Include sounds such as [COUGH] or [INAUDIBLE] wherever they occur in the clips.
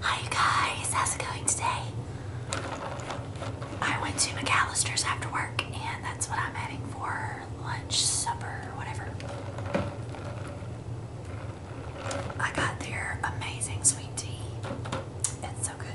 Hi guys, how's it going today? I went to McAllister's after work and that's what I'm heading for lunch, supper, whatever. I got their amazing sweet tea. It's so good.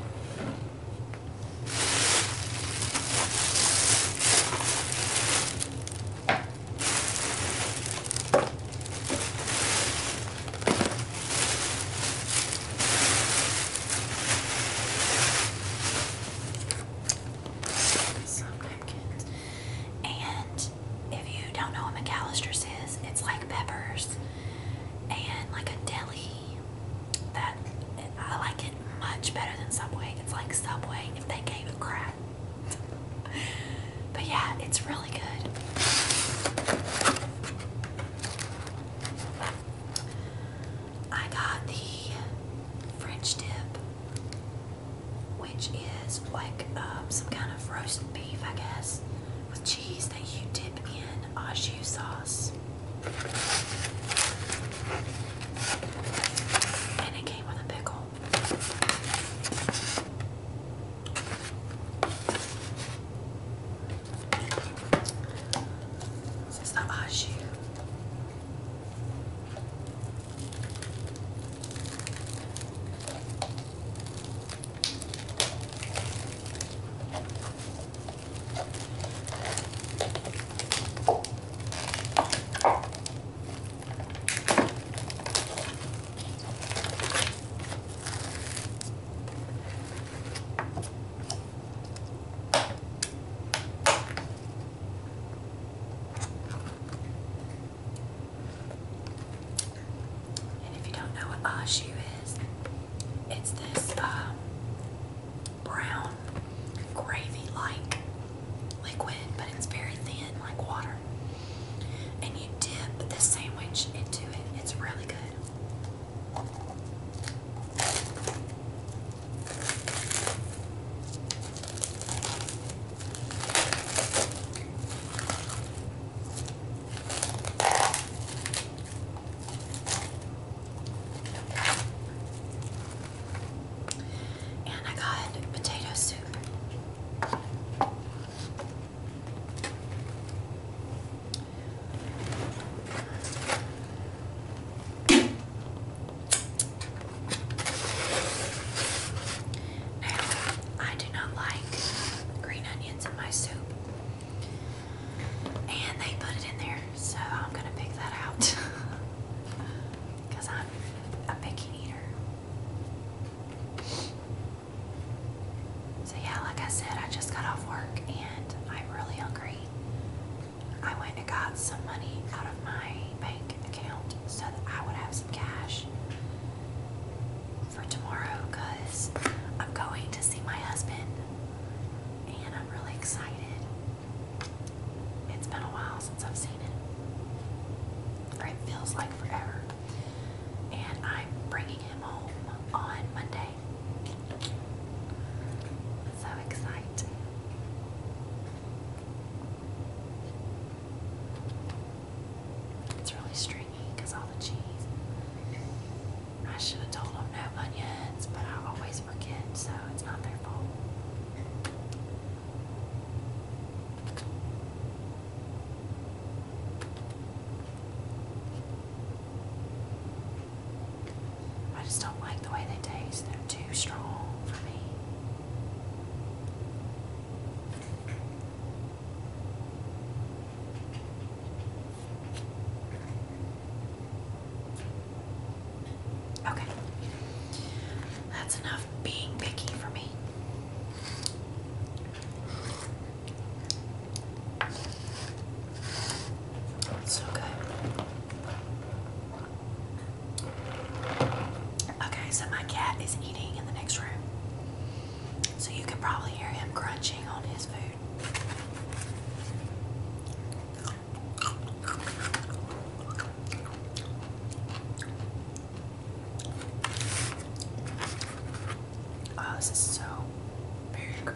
Some napkins. And if you don't know what McAllister says, it's like peppers and like a deli that I like it much better than Subway. It's like Subway if they gave a crap. but yeah, it's really good. I got the French dip, which is like um, some kind of roast beef, I guess, with cheese that you dip in au jus sauce. And it came with a pickle. This is the Ashu. And if you don't know what ashu is, it's this um, brown, gravy-like liquid, but it's very thin, like water. And you dip the sandwich into it. It's really good. And I got potato soup. Now, I do not like green onions in my soup. And they put it in there so I'm gonna pick that out because [LAUGHS] I'm a picky eater. So yeah, like I said, I just got off work and I'm really hungry. I went and got some money out of my bank account so that I would have some cash for tomorrow because I'm going to see my husband and I'm really excited. It's been a while since I've seen it. it feels like forever. And I'm bringing him home on Monday. So excited. It's really stringy because all the cheese. I should have told him no onions, but I always forget, I just don't like the way they taste. They're too strong for me. Okay. That's enough being picky for me. So good. Okay, so my cat is eating in the next room. So you can probably hear him crunching on his food. Oh, this is so very good.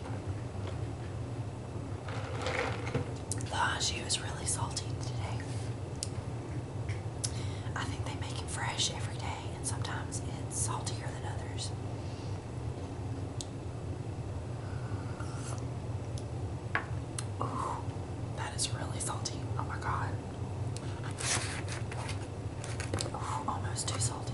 The she was really salty today. I think they make it fresh every day, and sometimes it's saltier than others. Ooh, that is really salty. Oh my god. Ooh, almost too salty.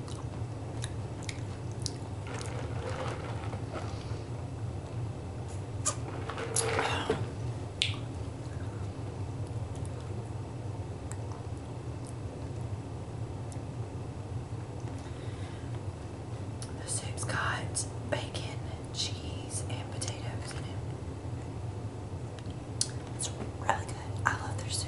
The soup's got bacon, cheese, and potatoes It's really good. I love their soup.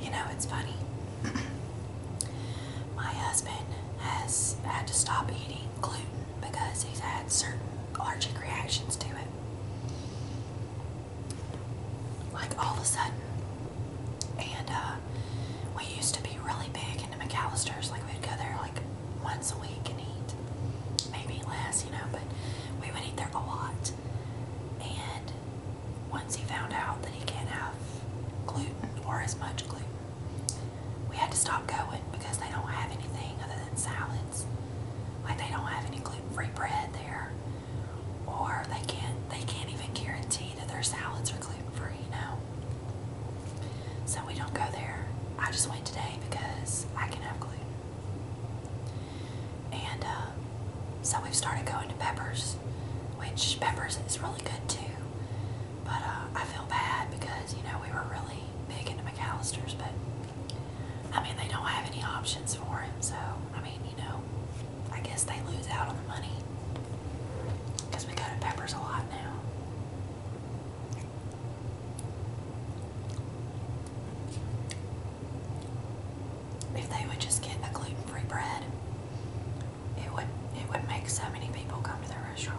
You know, it's funny. [CLEARS THROAT] My husband has had to stop eating gluten because he's had certain allergic reactions to it. Like all of a sudden. And uh, we used to be really big into McAllister's. Like we'd go there like once a week and eat. Maybe less, you know, but we would eat there a lot. And once he found out that he can't have gluten or as much gluten, we had to stop going because they don't have anything other than salads. Like they don't have any gluten-free bread there, or they can't they can't even guarantee that their salads are gluten-free. You know, so we don't go there. I just went today because I can have gluten. And uh, so we've started going to Peppers, which Peppers is really good too. But uh, I feel bad because, you know, we were really big into McAllister's, but I mean, they don't have any options for him. So, I mean, you know, I guess they lose out on the money because we go to Peppers a lot now. If they would just get a gluten-free bread, it would it would make so many people come to their restaurant.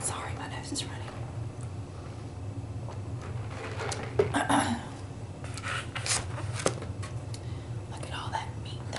Sorry, my nose is running. [COUGHS] Look at all that meat, though.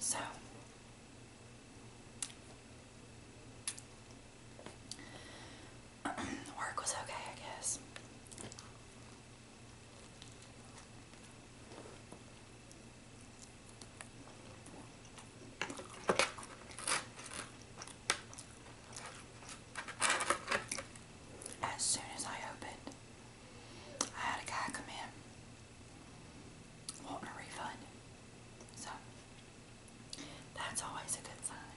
So [CLEARS THROAT] work was okay, I guess. As soon as I opened, I had a guy come in wanting a refund. So, that's always a good sign.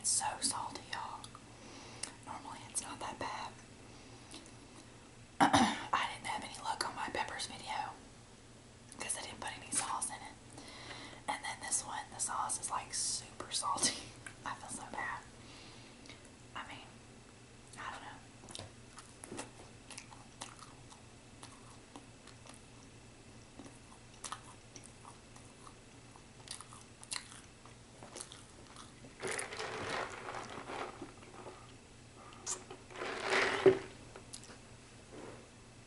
It's so salty, y'all. Normally it's not that bad. [CLEARS THROAT] I didn't have any luck on my peppers video because I didn't put any sauce in it. And then this one, the sauce is like super salty. [LAUGHS] I feel so bad. I mean, I don't know.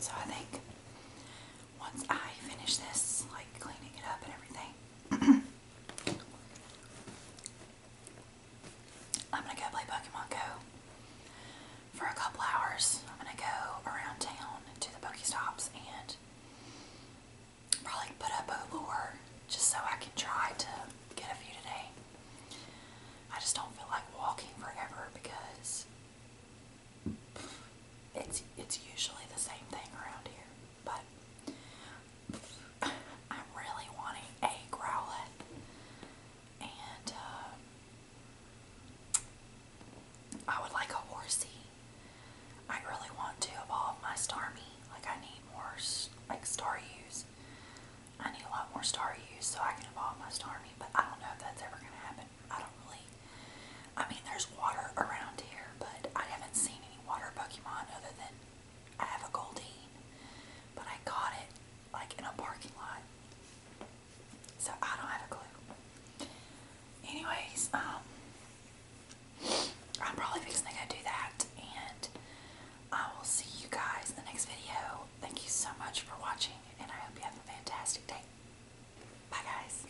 So I think once I finish this, like cleaning it up and everything, [CLEARS THROAT] I'm gonna go play Pokemon Go for a couple hours. I'm gonna go around town to the Pokestops and probably put up a lure just so I can try to get a few today. I just don't feel like walking forever because it's it's usually the same thing around here. But I'm really wanting a Growlithe and uh, I would like a horsey. I really want to evolve my Starmie. Like I need more like star use. I need a lot more star use so I can evolve my Starmie, but I don't know if that's ever gonna happen. I don't really. I mean, there's water around here, but I haven't seen any water Pokemon other than I have a Goldeen, but I got it like in a parking lot. So I don't have a clue. Anyways, um, I'm probably fixing to go do that, and I will see you guys in the next video. Thank you so much for watching, and I hope you have a fantastic day. Bye, guys.